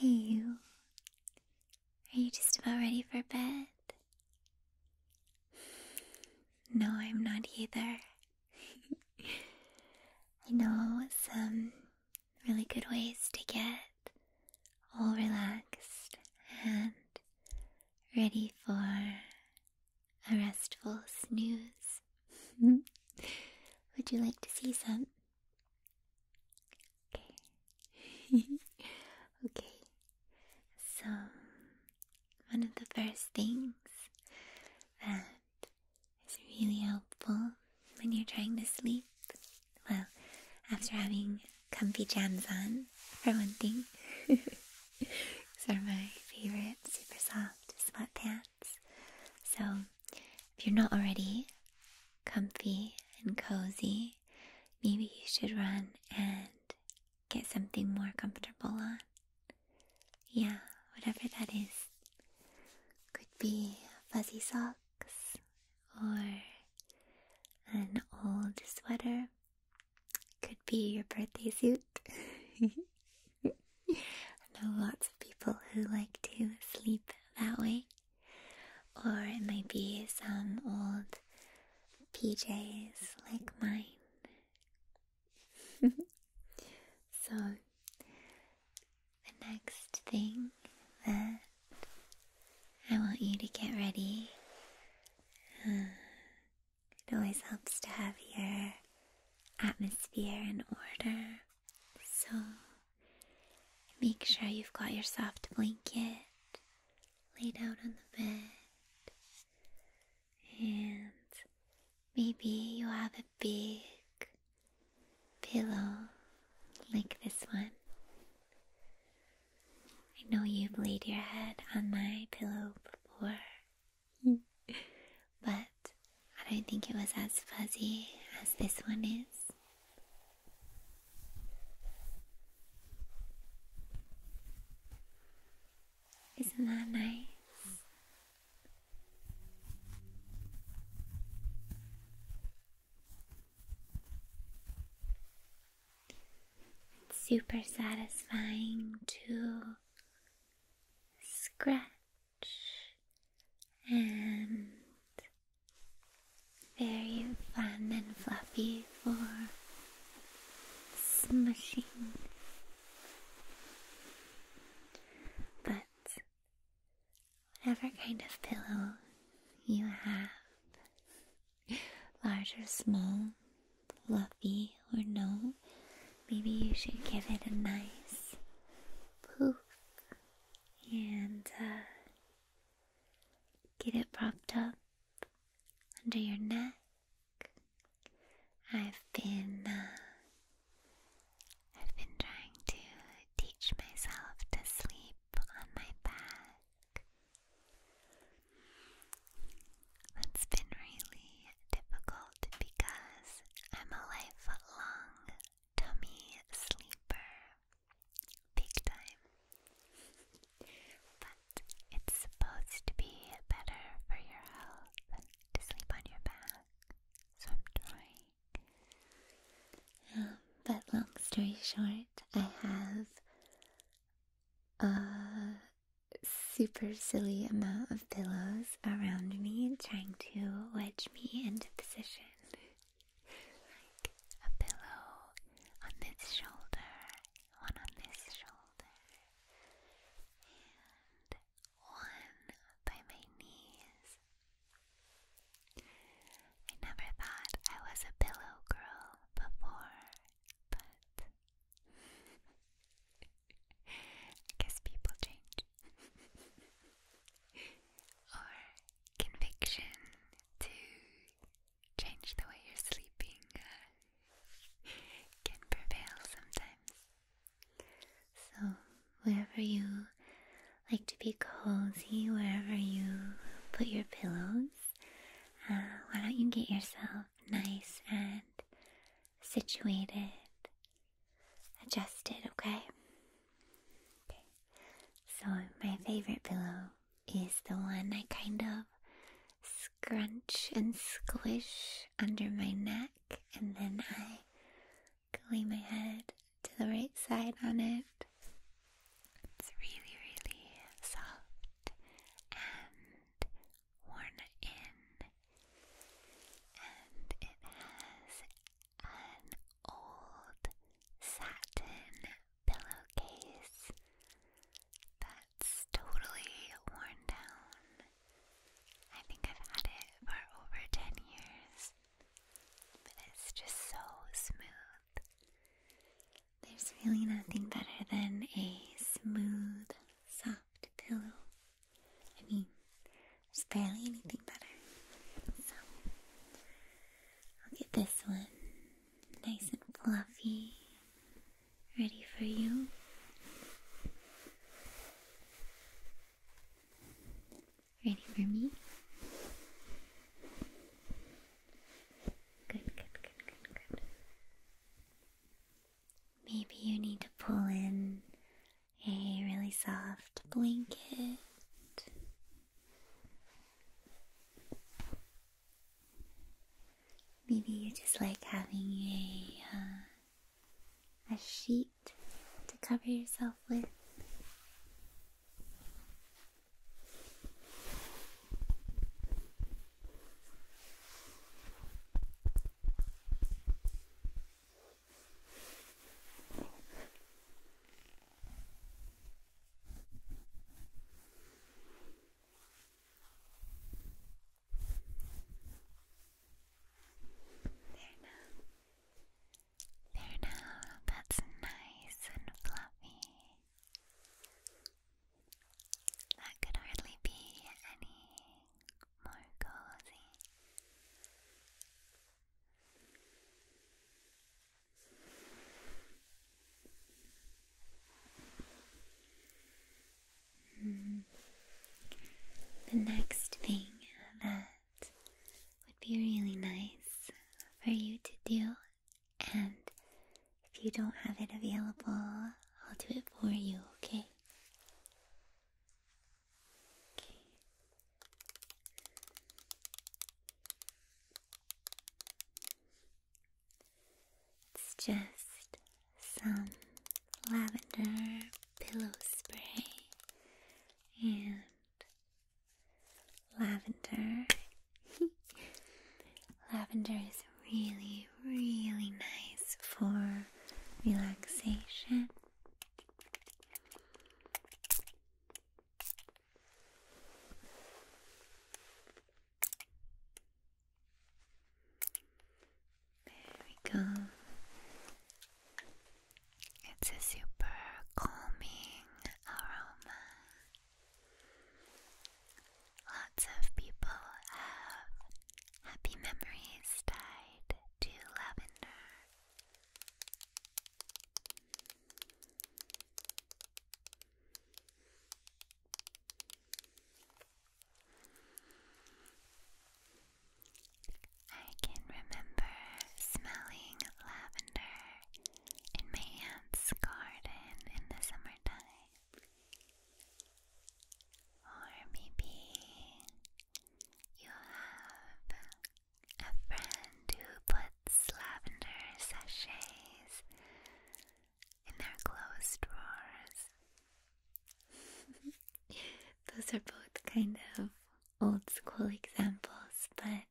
Hey, you. Are you just about ready for bed? No, I'm not either. I know some really good ways to get all relaxed and ready for a restful snooze. Would you like to see some? Okay. okay. So, one of the first things that it's really helpful when you're trying to sleep. Well, after having comfy jams on, for one thing. These are my favorite super soft sweatpants. So, if you're not already comfy and cozy, maybe you should run and get something more comfortable on. Yeah, whatever that is. Could be fuzzy socks or an old sweater. Could be your birthday suit. I know lots of people who like to sleep that way. Or it might be some old PJs like mine. so, the next thing that I want you to get ready. Uh, it always helps to have your atmosphere in order. So, make sure you've got your soft blanket laid out on the bed and maybe you have a big pillow like this one. I know you've laid your head on my pillow before, but I don't think it was as fuzzy as this one is. Isn't that nice? It's super satisfying to scratch and very fun and fluffy for smushing but whatever kind of pillow you have, large or small, fluffy or no, maybe you should give it a nice poof and uh, get it propped up under your neck I've been uh, I've been trying to teach myself to sleep on my back. That's been really difficult because I'm a life-long tummy sleeper. Big time. It's supposed to be better for your health to sleep on your back, so I'm trying. Um, but long story short, I have a super silly amount of pillows around me trying to wedge me into position. like a pillow on this shoulder, one on this shoulder, and one by my knees. I never thought I was a pillow girl before, but I guess people change. or conviction to change the way you're sleeping uh, can prevail sometimes. So, wherever you like to be cozy, wherever you put your pillows, uh, why don't you get yourself nice and situated, adjusted, okay? Okay. So, my favorite pillow is the one I kind of scrunch and squish under my neck, and then I go lay my head to the right side on it. It's really, really soft and worn in, and it has an old satin pillowcase that that's totally worn down. I think I've had it for over 10 years, but it's just so smooth. There's really nothing better than a smooth, soft pillow. I mean, there's barely anything better. So, I'll get this one nice and fluffy ready for you. Ready for me? Good, good, good, good, good. Maybe you need to pull in a really soft blanket. Maybe you just like having a uh, a sheet to cover yourself with. There now. There now, that's nice and fluffy. That could hardly be any more cozy. The next thing that would be really nice for you to do, and if you don't have it available, I'll do it for you, Okay. It's just some lavender pillow spray and lavender. lavender is really, really nice for relaxation. There we go. It's a super calming aroma. Lots of people have happy memories tied to lavender. I can remember smelling lavender in my aunt's garden in the summertime. Or maybe you have a friend who puts lavender sachets in their closed drawers. Those are both kind of old school examples, but I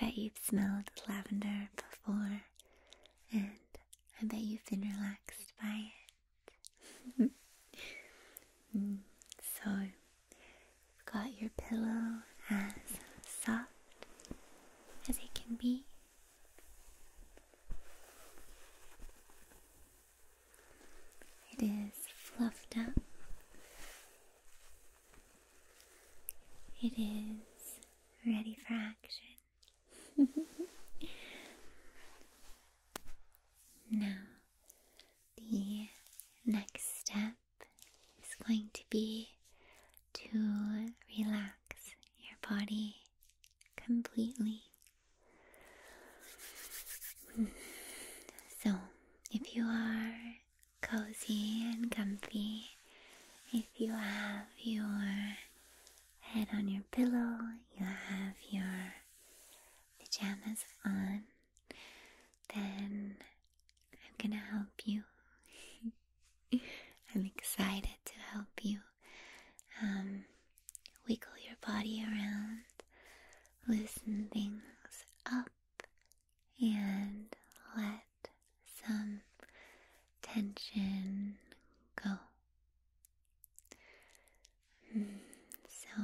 bet you've smelled lavender before, and I bet you've been relaxed by it. Mm, so, got your pillow as soft as it can be. It is fluffed up. It is ready for action. now, the next step is going to be to relax your body completely. So, if you are cozy and comfy, if you have your head on your pillow, you have your pajamas on, then I'm gonna help you. I'm excited to help you um, wiggle your body around, loosen things up, and let some tension go. Mm, so,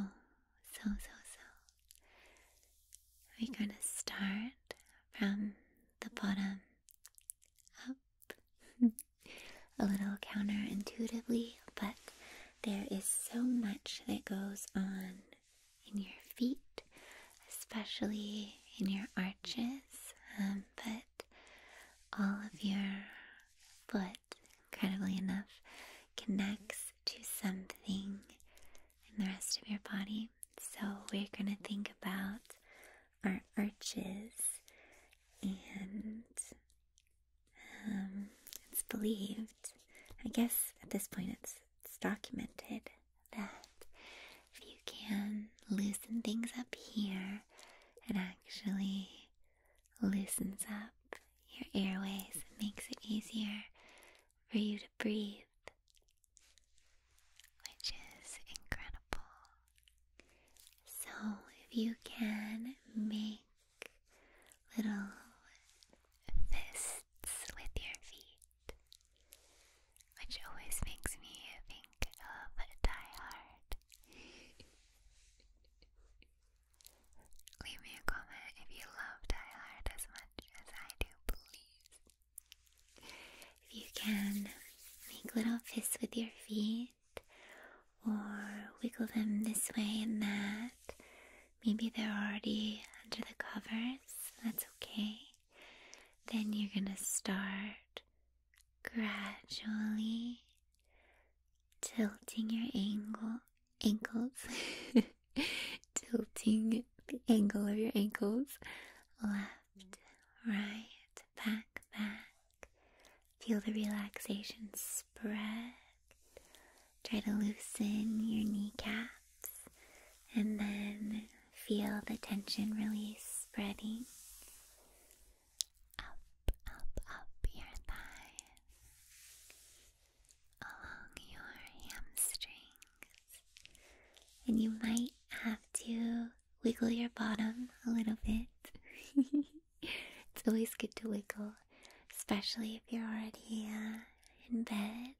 so, so, so. We're going to start from the bottom up. A little counterintuitively, but there is so much that goes on in your feet, especially in your arches, um, but all of your foot, incredibly enough, connects to something in the rest of your body so we're going to think about our arches and um, it's believed, I guess at this point it's, documented that if you can loosen things up here, it actually loosens up your airways and makes it easier for you to breathe which is incredible. So, if you can make little fists with your feet, which always makes me think of Die Hard. Leave me a comment if you love Die Hard as much as I do, please. If you can make little fists with your feet or wiggle them this way and that, maybe they're already under the covers, that's okay. Then you're gonna start gradually tilting your angle ankles tilting the angle of your ankles right, back, back. Feel the relaxation spread. Try to loosen your kneecaps and then feel the tension release spreading. Up, up, up your thighs, along your hamstrings, and you might have to wiggle your bottom a little bit. it's always good to wiggle, especially if you're already uh, in bed.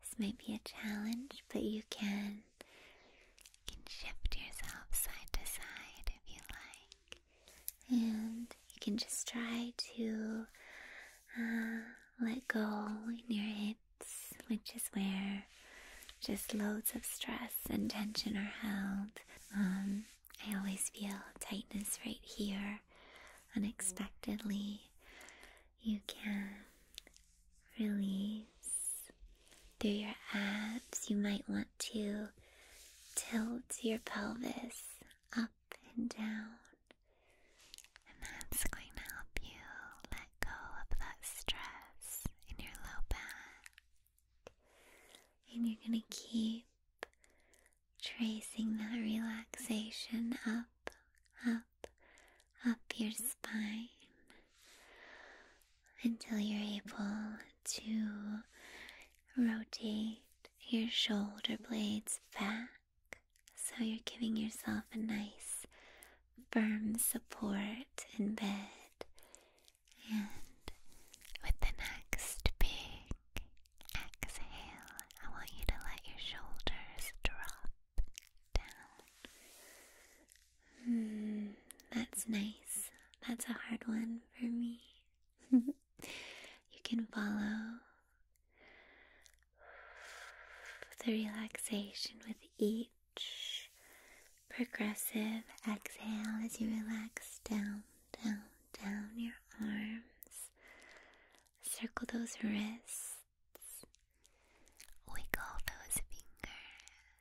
This might be a challenge, but you can, can shift yourself side to side if you like. And you can just try to uh, let go in your hips which is where just loads of stress and tension are held. Um, I always feel tightness right here unexpectedly. You can release through your abs. You might want to tilt your pelvis up and down and that's going to help you let go of that stress in your low back. And you're going to keep tracing that relaxation up, up, up your spine until you're able to rotate your shoulder blades back so you're giving yourself a nice firm support in bed. And with the next big exhale, I want you to let your shoulders drop down. Hmm, that's nice. That's a hard one for me. you can follow the relaxation with each progressive exhale as you relax down, down, down your arms. Circle those wrists. Wiggle those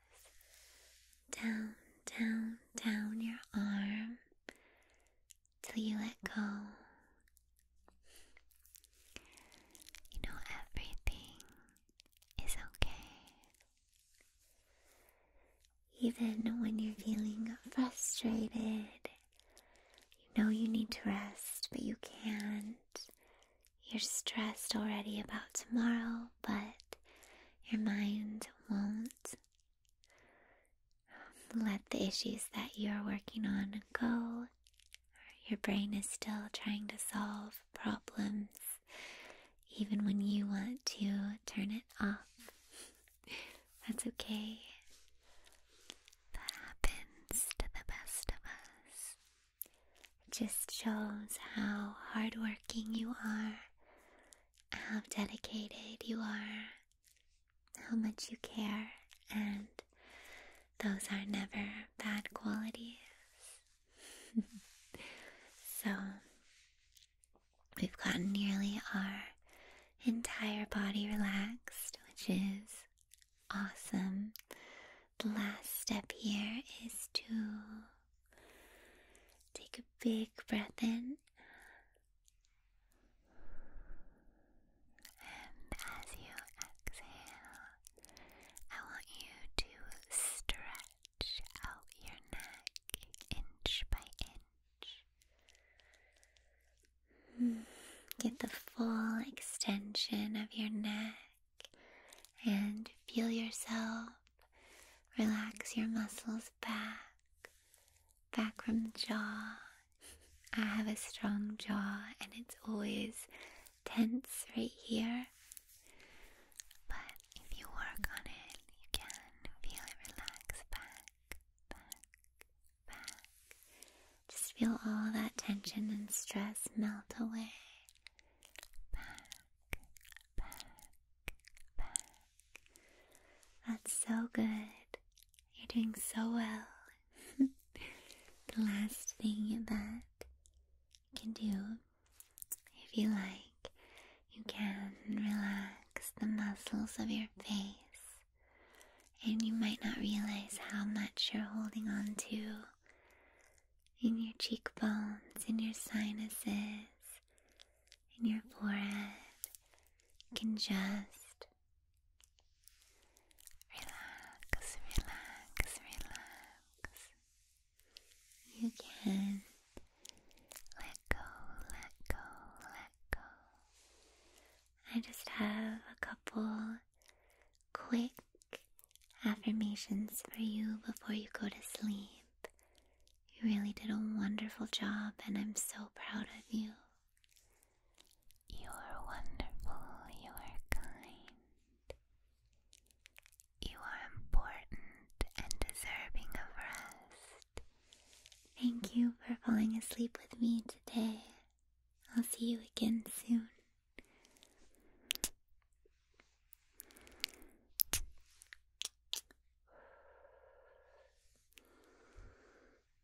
fingers. Down, down, down your arm till you let go you know, everything is okay. Even when you're feeling frustrated, you know you need to rest, but you can't. You're stressed already about tomorrow, but your mind won't. Let the issues that you're working on go your brain is still trying to solve problems, even when you want to turn it off. That's okay. That happens to the best of us. It just shows how hardworking you are, how dedicated you are, how much you care, and those are never bad qualities. so, we've gotten nearly our entire body relaxed, which is awesome. The last step here is to take a big breath in and as you exhale, I want you to stretch out your neck inch by inch. Get the full extension of your neck and feel yourself relax your muscles back, back from the jaw I have a strong jaw and it's always tense right here. But if you work on it, you can feel it relax back, back, back. Just feel all that tension and stress melt away. Back, back, back. That's so good. You're doing so well the last thing that you can do, if you like, you can relax the muscles of your face, and you might not realize how much you're holding on to in your cheekbones, in your sinuses, in your forehead. You can just Relax, relax, relax. You can let go, let go, let go. I just have a couple quick affirmations for you before you go to sleep. You really did a wonderful job, and I'm so proud of you. You are wonderful, you are kind. You are important and deserving of rest. Thank you for falling asleep with me today. I'll see you again soon.